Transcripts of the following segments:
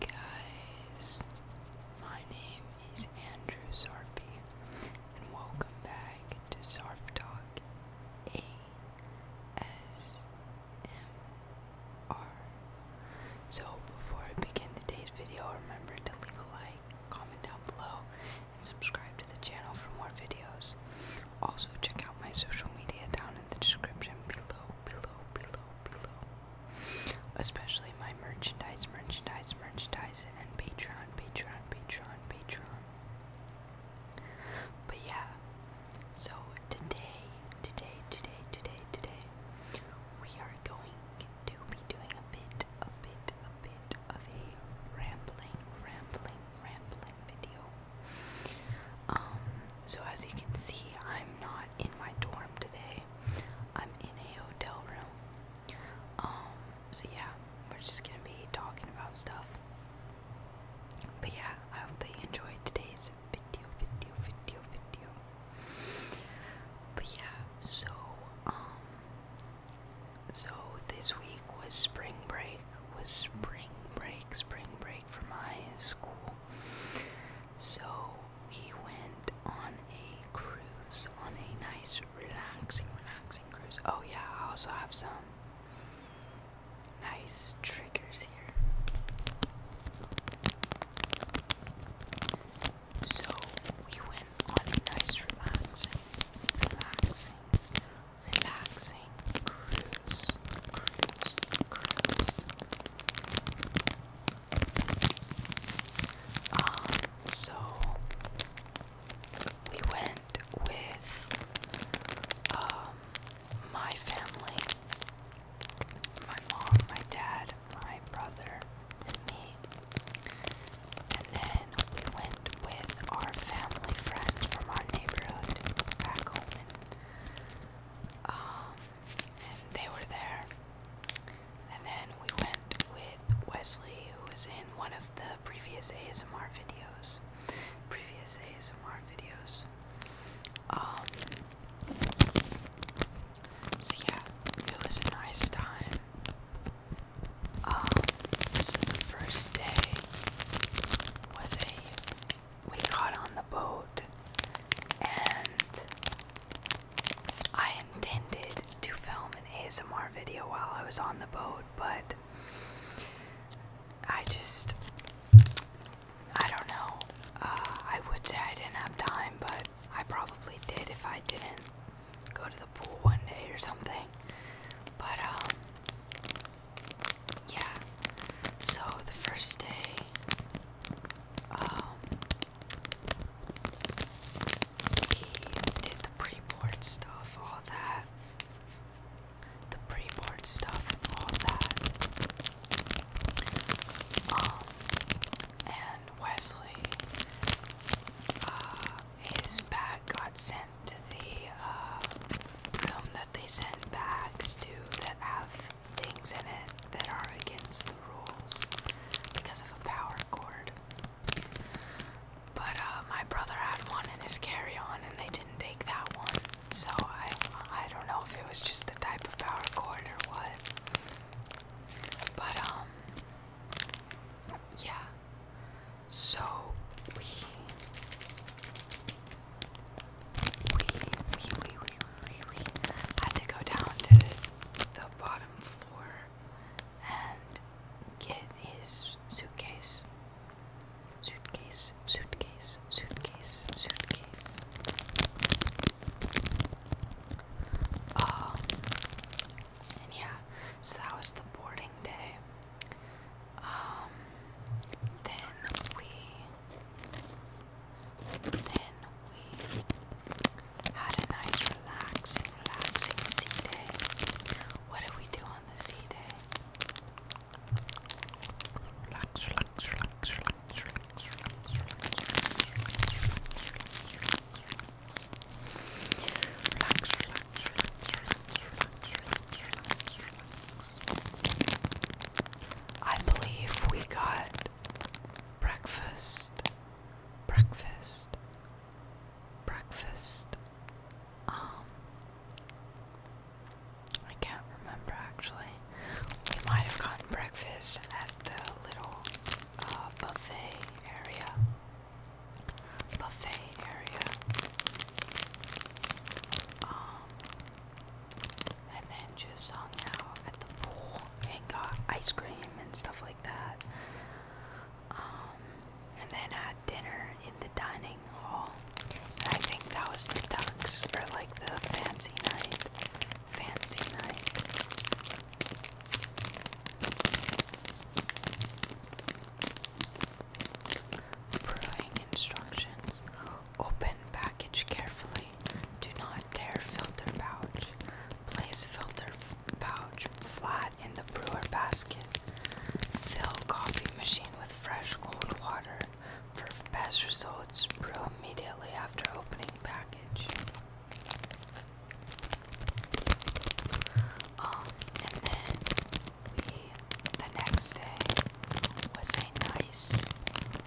Hey guys, my name is Andrew Sarpy, and welcome back to Sarp Talk A S M R. So, before I begin today's video, remember to leave a like, comment down below, and subscribe to the channel for more videos. Also, check out my social media down in the description below, below, below, below. Especially my merchandise, merchandise, merchandise, and Patreon, Patreon, Patreon, Patreon. But yeah, so today, today, today, today, today, we are going to be doing a bit, a bit, a bit of a rambling, rambling, rambling video. Um, so as you can see, I'm not in my dorm today. I'm in a hotel room. Um, so yeah, we're just gonna be talking about stuff. But yeah, I hope that you enjoyed today's video, video, video, video. But yeah, so um so this week was spring break, was spring break, spring break for my school. So we went on a cruise, on a nice, relaxing, relaxing cruise. Oh, yeah, I also have some nice triggers here. So we went on a nice, relaxing, relaxing, relaxing cruise, cruise, cruise. Um, so we went with um, my family, my mom, my dad, my brother, and me. And then we went with our family friends from our neighborhood back home. Um, and, they were there. And then we went with Wesley, who was in one of the previous ASMR videos. Previous ASMR videos. Um, so yeah, it was a nice time. Um, so the first day was a. We got on the boat and I intended to film an ASMR video while I was on the boat, but I just. I don't know. Uh, I would say I didn't have time, but I probably did if I didn't go to the pool one day or something. But, um, yeah. So the first day, um, we did the pre board stuff, all that. The pre board stuff, all that. Um, and Wesley, uh, his bag got sent to the uh, room that they send bags to that have things in it that are against the rules because of a power cord. But uh, my brother had one in his carry-on, and they didn't take that one. So I, I don't know if it was just the type of power cord or what. But um, yeah. So we we we we we we, had to go down to the bottom floor and get his suitcase. Suitcase, suitcase, suitcase, suitcase. Um, yeah, so that was the boarding day. Um, then we, then we had a nice relaxing, relaxing sea day. What did we do on the sea day? relax, relax, relax, relax, relax, relax, I believe we got breakfast, breakfast, breakfast. Um, I can't remember actually. We might have gotten breakfast at the little uh, buffet area buffet area. Um, and then just hung out at the pool and got ice cream and stuff like that. Um, and then had dinner in the dining hall. I think that was the Ducks, or like the fancy night. Fancy night. Brewing instructions. Open package carefully. Do not tear filter pouch. Place filter pouch flat in the brewer basket. Fill coffee machine with fresh cold water. For best results, brew immediately after opening package. Um, and then we, the next day was a nice,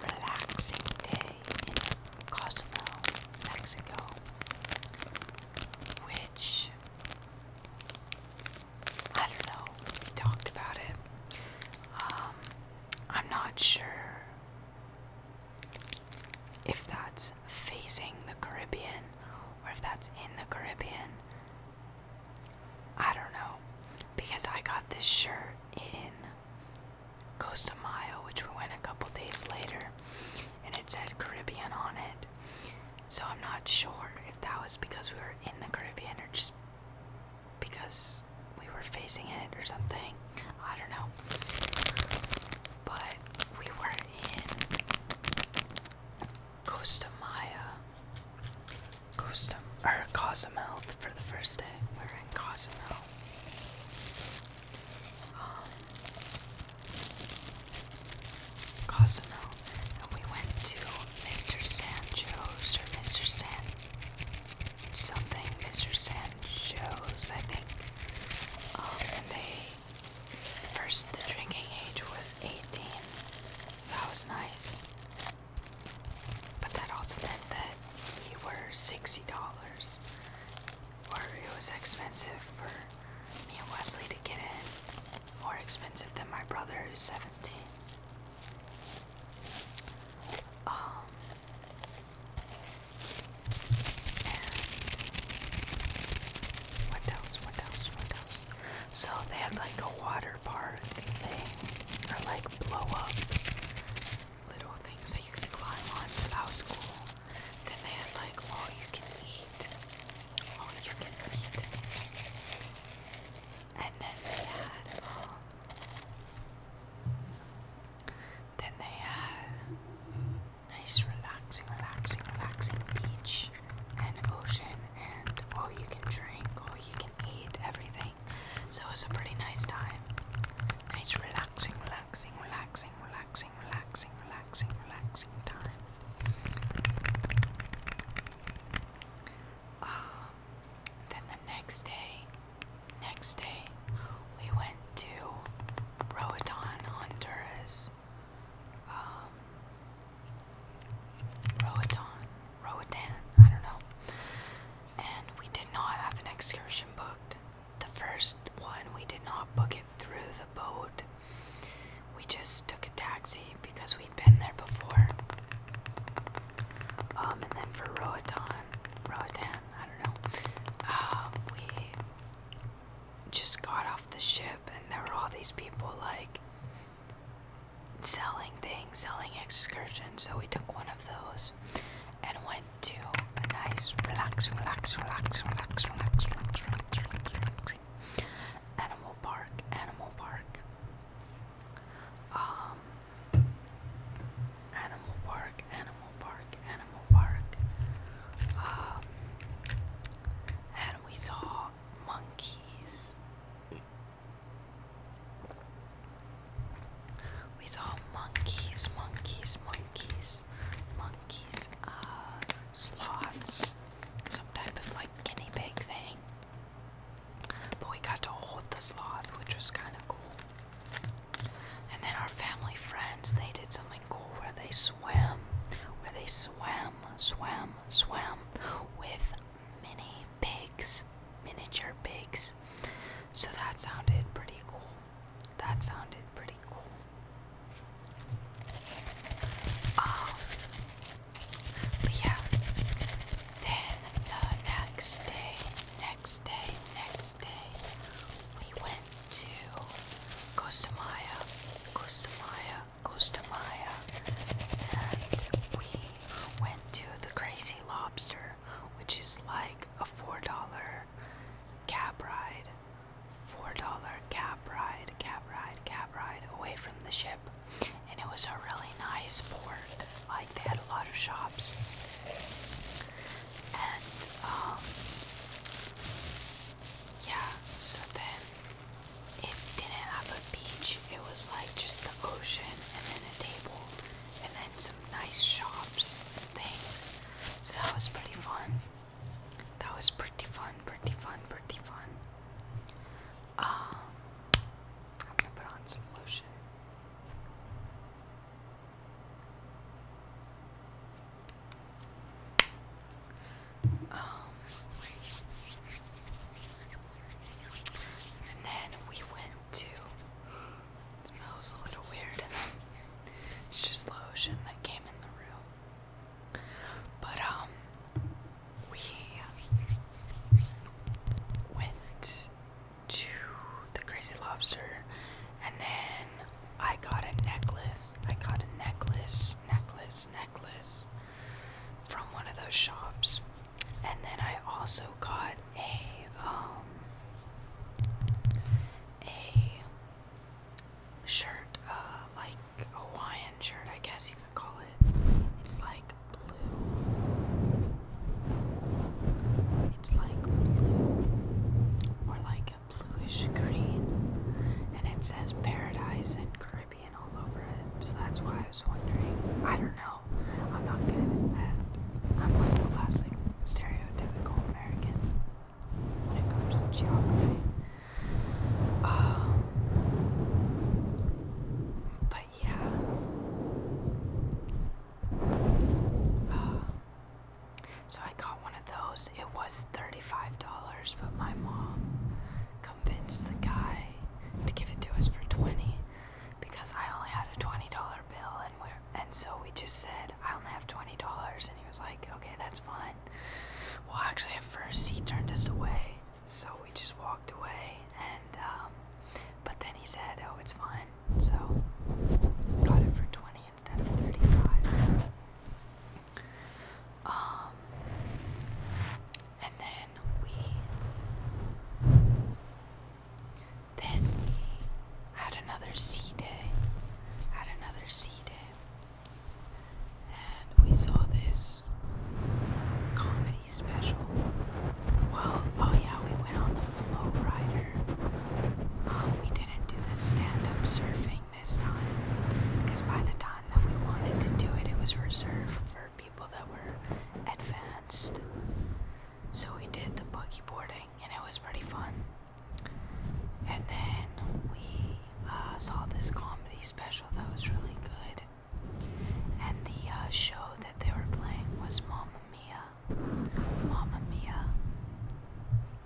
relaxing day in Cozumel, Mexico, which I don't know. We talked about it. Um, I'm not sure if that's facing the Caribbean or if that's in the Caribbean. I don't know. Because I got this shirt in Costa Maya, which we went a couple days later, and it said Caribbean on it. So I'm not sure if that was because we were in the Caribbean or just because we were facing it or something. I don't know. But we were in Costa Maya, Costa or Cozumel for the first day. We're in Cozumel. Um, Cozumel, and we went to Mr. Sancho's or Mr. San something, Mr. Sancho's, I think. Um, and they First, the drinking age was 18, so that was nice. But that also meant that we were $60, or it was expensive for me and Wesley to get in, more expensive than my brother who's 17. Um, what else? What else? What else? So they had like a water park thing, or like blow up little things that you can climb on. So that was cool. Then they had like all you can eat, all you can eat, and then they had. Um, then they had nice, relaxing, relaxing, relaxing beach and ocean, and oh, you can drink, oh, you can eat everything. So it's a pretty nice time. Nice, relaxing, relaxing, relaxing, relaxing, relaxing, relaxing, relaxing time. Um, then the next day, next day, we went to Roatan, Honduras. Um, Roatan, Roatan, I don't know. And we did not have an excursion booked. The first one, we did not book it through the boat. We just took a taxi because we'd been there before. Um, and then for Roatan, Roatan, I don't know. Um, we just got off the ship, and there were all these people like selling things, selling excursions. So we took one of those and went to a nice, relax, relax, relax, relax, relax, relax, relax, relax, relax, relax animal park, animal park. Um, Animal Park, Animal Park, Animal Park. Um, and we saw monkeys. We saw monkeys, monkeys, monkeys, monkeys, uh, sloths, some type of like guinea pig thing. But we got to hold the sloth, which was kind of cool. And then our family friends, they did something cool where they swam, where they swam, swam, swam with mini pigs, miniature pigs. So that sounded pretty cool. That sounded pretty cool. Um, but yeah, then the next day, next day, next day, we went to Costa Maya, Costamaya, Costamaya, Costamaya, and we went to the Crazy Lobster, which is like a four dollar cab ride, four dollar cab ride, cab ride, cab ride away from the ship, and it was a really nice port. Like they had a lot of shops and um, yeah, so then it didn't have a beach, it was like just the ocean and then a table and then some nice shops things. So that was pretty fun. That was pretty fun, pretty fun, pretty fun. Um, I'm gonna put on some lotion and then we went to. smells a little weird. it's just the lotion that came in the room. But, um, we went to the Crazy Lobster, and then I got a necklace. I got a necklace, necklace, necklace from one of those shops, and then I also got a um a shirt, uh, like Hawaiian shirt, I guess you could call it. It's like blue it's like blue or like a bluish green, and it says paradise and Caribbean all over it. So that's why I was wondering. I don't know. I'm not good at I'm like a classic stereotypical American when it comes to geography. Um, but yeah, so I got one of those. It was $35, but my mom convinced the guy to give it to us for 20 because I only had a $20 bill and we and so we just said I only have $20 and he was like, "Okay, that's fine." Well, actually at first he turned us away. So we just walked away and um, but then he said, "Oh, it's fine." So got it for 20 instead of 35. Um and then we then we had another sea day. Had another sea day. And we saw this comedy special. Well, oh yeah, we went on the flow rider. Um, we didn't do the stand-up surfing this time because by the time that we wanted to do it, it was reserved for people that were advanced. So we did the boogie boarding and it was pretty fun. And then we uh, saw this comedy special that was really good. And the uh, show that they were playing was Mamma Mia. Mamma Mia.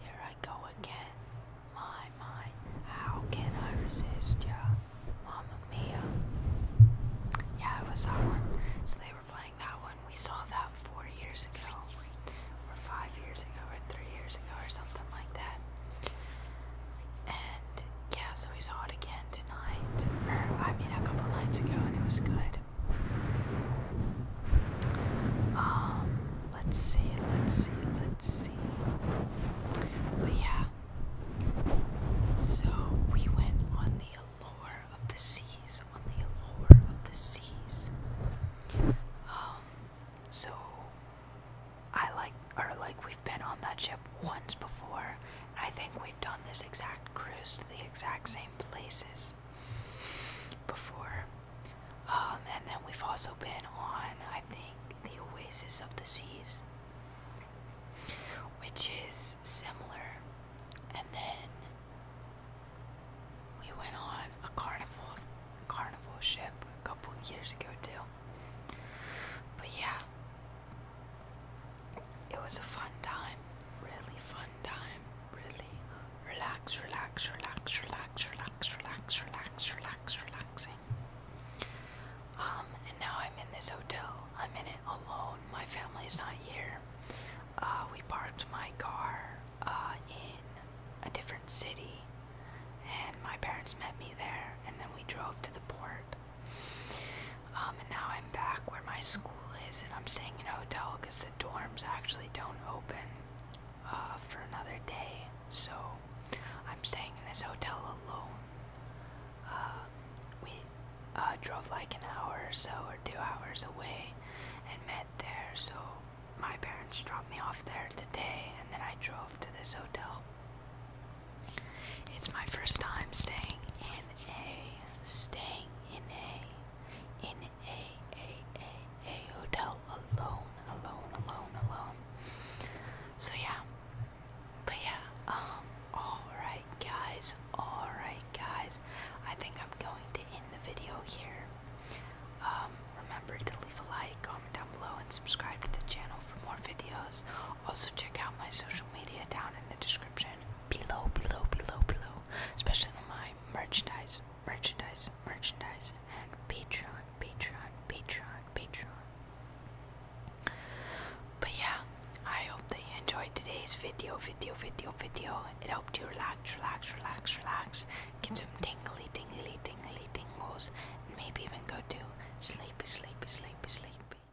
Here I go again. My, my, how can I resist ya? Mamma Mia. Yeah, it was that one. So they were playing that one. We saw that four years ago, or five years ago, or three years ago, or something like that. And yeah, so we saw it again tonight. Or, I mean, a couple nights ago, and it was good. Um, let's see, let's see, let's see. But yeah, so we went on the allure of the seas, on the allure of the seas. Um, so I like, or like, we've been on that ship once before, I think we've done this exact cruise to the exact same places before. Um, and then we've also been on, I think, the Oasis of the Seas, which is similar. And then we went on a carnival carnival ship a couple years ago too. But yeah, it was a fun time, really fun time, really relax, relax, relax, relax, relax, relax, relax, relaxing. Um, and now I'm in this hotel. I'm in it alone. My family's not here. Uh, we parked my car uh, in a different city, and my parents met me there, and then we drove to the port um, and now I'm back where my school is, and I'm staying in a hotel because the dorms actually don't open uh, for another day. So I'm staying in this hotel alone. Uh, we uh, drove like an hour or so, or two hours away, and met there. So my parents dropped me off there today, and then I drove to this hotel. It's my first time staying in a staying in a in a a a a hotel alone alone alone alone so yeah but yeah um all right guys all right guys I think I'm going to end the video here um remember to leave a like comment down below and subscribe to the channel for more videos also check out my social media down in the description description below, below, below, below, especially my merchandise, merchandise, merchandise, and Patreon, Patreon, Patreon, Patreon. But yeah, I hope that you enjoyed today's video, video, video, video. It helped you relax, relax, relax, relax, get some tingly, tingly, tingly, tingles, and maybe even go to sleepy, sleepy, sleepy, sleepy.